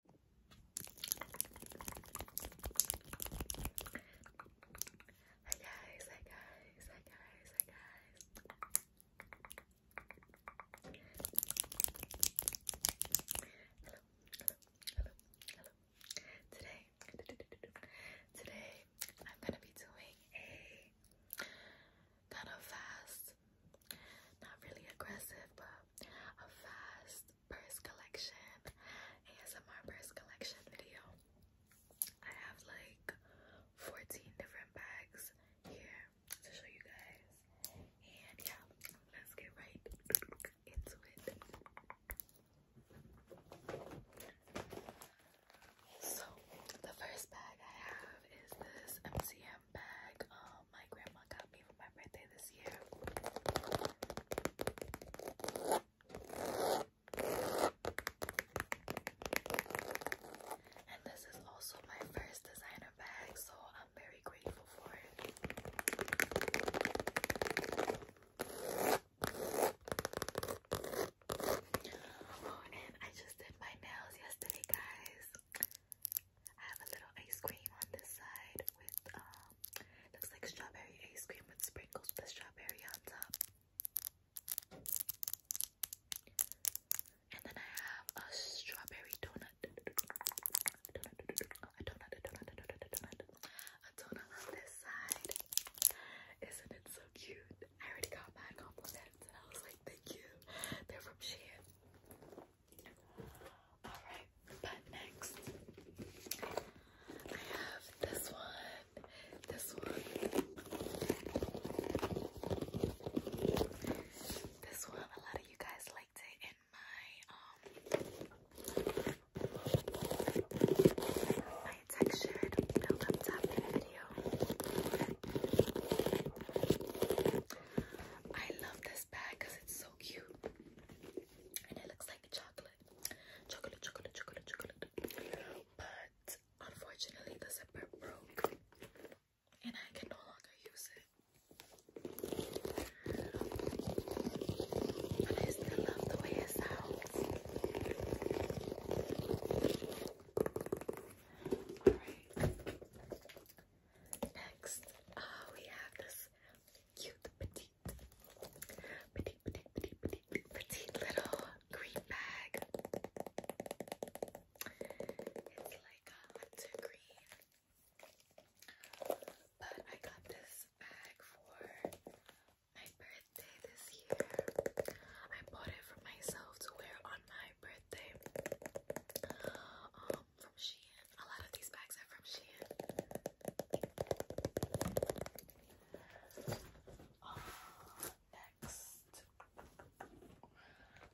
Hi guys, hi guys, hi guys, hi guys. Hello, hello, hello, hello. Today, today I'm gonna be doing a kind of fast, not really aggressive, but a fast purse collection, ASMR purse collection video. I have like 14 different bags here to show you guys. And yeah, let's get right into it. So the first bag I have is this MCM bag. Um, Oh, my grandma got me for my birthday this year. And this is also my first designer bag, so I'm very grateful for it. Oh, and I just did my nails yesterday, guys. I have a little ice cream on this side with um looks like strawberry ice cream with sprinkles with strawberry on top. And then I have a strawberry donut. A donut, a donut, a donut, a donut. A donut on this side. Isn't it so cute? I already got my compliments and I was like, thank you. They're from Shein. Alright, but next I have this one, this one, this one. A lot of you guys liked it in my um my textured build up video. I love this bag because it's so cute. And it looks like chocolate. Chocolate, chocolate, chocolate, chocolate. But unfortunately the zipper broke. And I can no longer use it. But I still love the way it sounds. Alright. Next, uh, we have this cute petite, petite, petite, petite, petite, petite little green bag. It's like hunter green. But I got this bag for my birthday this year. I bought it for myself to wear on my birthday um, from Shein. A lot of these bags are from Shein. Oh, next,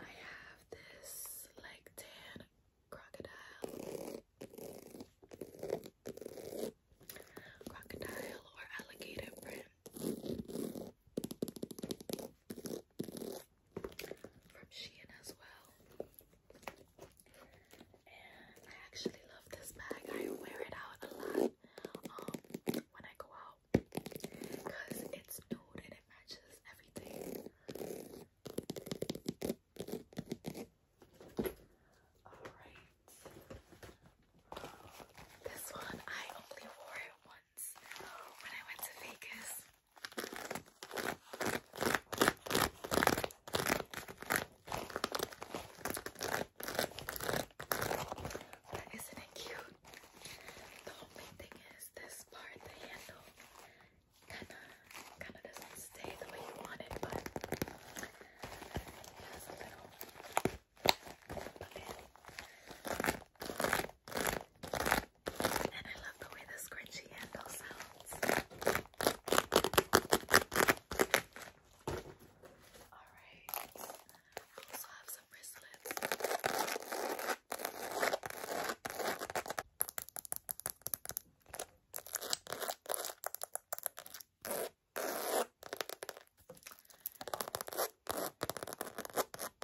I have this like tan crocodile. Crocodile or alligator print from Shein as well. And I actually love this bag. I wear it out a lot um, when I go out because it's nude and it matches everything. Alright. this one I only wore it once once isn't it cute? The only thing is this part, the handle, kinda, kinda doesn't stay the way you want but it has a little and I love the way the scrunchy handle sounds. Alright. I also have some wristlets. And this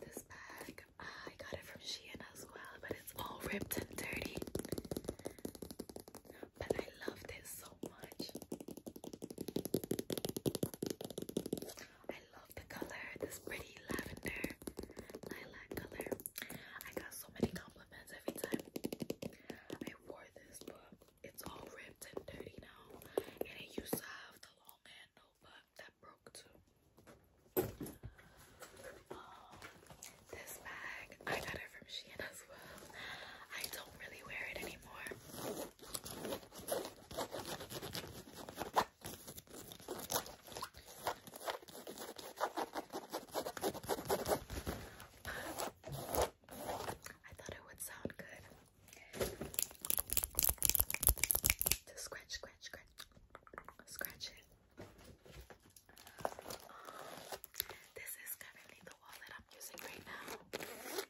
this bag, I got it from Shein as well, but it's all ripped and dirty. But I love this so much. I love the color, this pretty lavender lilac color. I got so many compliments every time I wore this, but it's all ripped and dirty now. And it used to have the long handle, but that broke too. Um, this bag, I got it from Shein as well. I don't really wear it anymore. I thought it would sound good to scratch, scratch, scratch, scratch it. this is currently the wallet I'm using right now.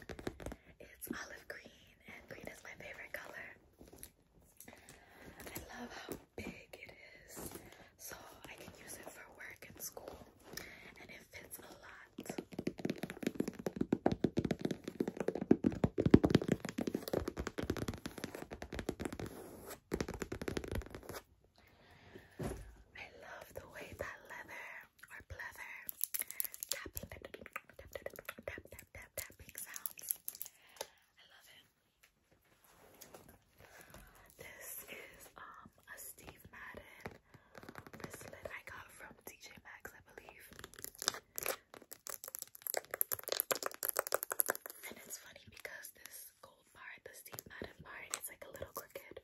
It's olive green, and green is my favorite color. I love how big it is, so I can use it for work and school, and it fits a lot. I love the way that leather or pleather tap, tap, tap, tap, tapping sounds. I love it. This is a Steve Madden bracelet I got from TJ Maxx, I believe. And it's funny because this gold part, the Steve Madden part, it's like a little crooked.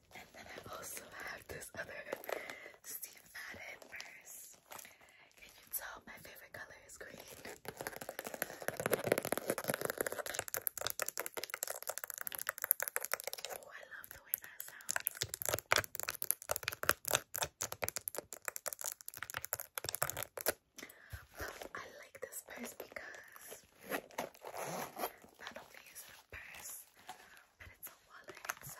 And then I also have this other Steve Madden purse. Can you tell my favorite color is green? Oh, I love the way that sounds. I like this purse because not only is it a purse, and it's a wallet inside.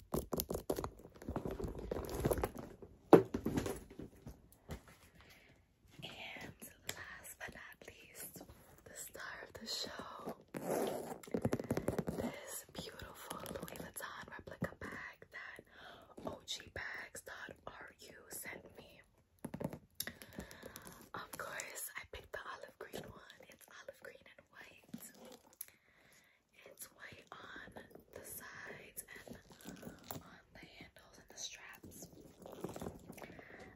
And last but not least, the star of the show. This beautiful Louis Vuitton replica bag that ogbags.ru sent me. Of course, I picked the olive green one. It's olive green and white. It's white on the sides and on the handles and the straps.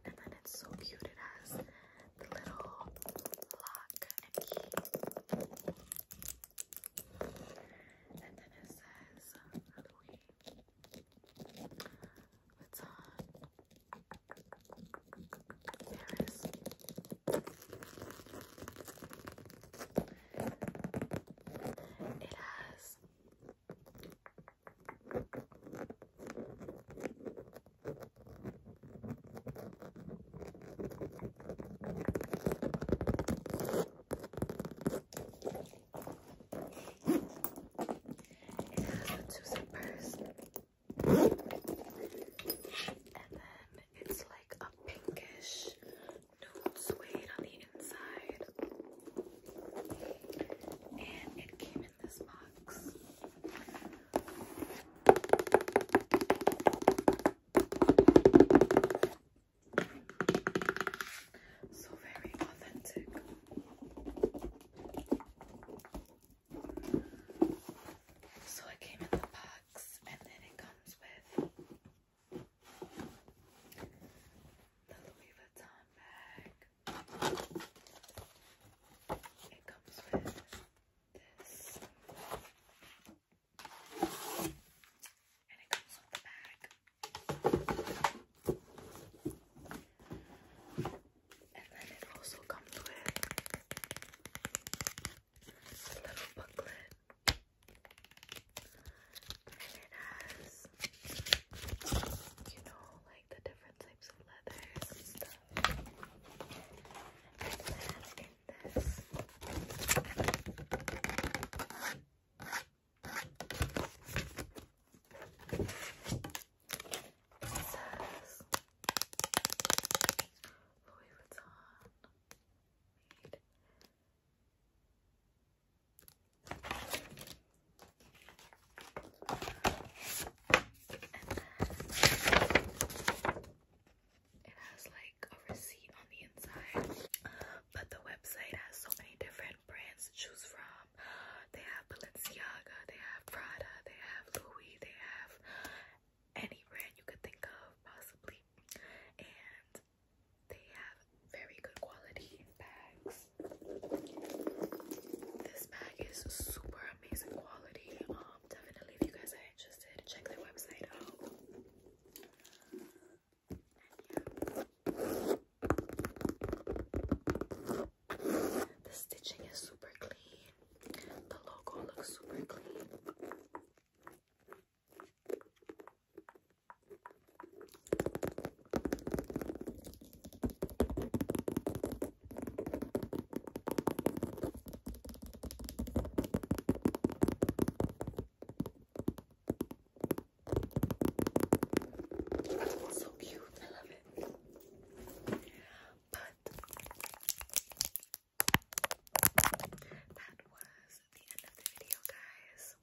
And then it's so cute. It has the little lock and key. And then it says Halloween. Uh, it's Paris. Uh, it has two zippers and then it's like a pinkish nude suede on the inside. And it came in this box. So very authentic. So it came in the box bucks, and then it comes with the Louis Vuitton bag. It comes with this, and it comes with the bag. And then it also comes with little booklet. And it has, you know, like the different types of leathers and then in this, says Louis Vuitton it has like a receipt on the inside, but the website has so many different brands to choose from. They have Balenciaga, they have Prada, they have Louis, they have any brand you could think of, possibly. And they have very good quality bags. This bag is super amazing quality. Um, definitely, if you guys are interested, check their website out. The stitching is super clean. The logo looks super clean. So cute, I love it. But that was the end of the video, guys.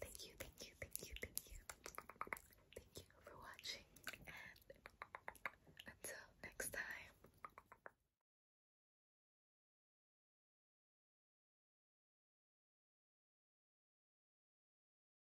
Thank you, thank you, thank you, thank you. Thank you for watching, and until next time.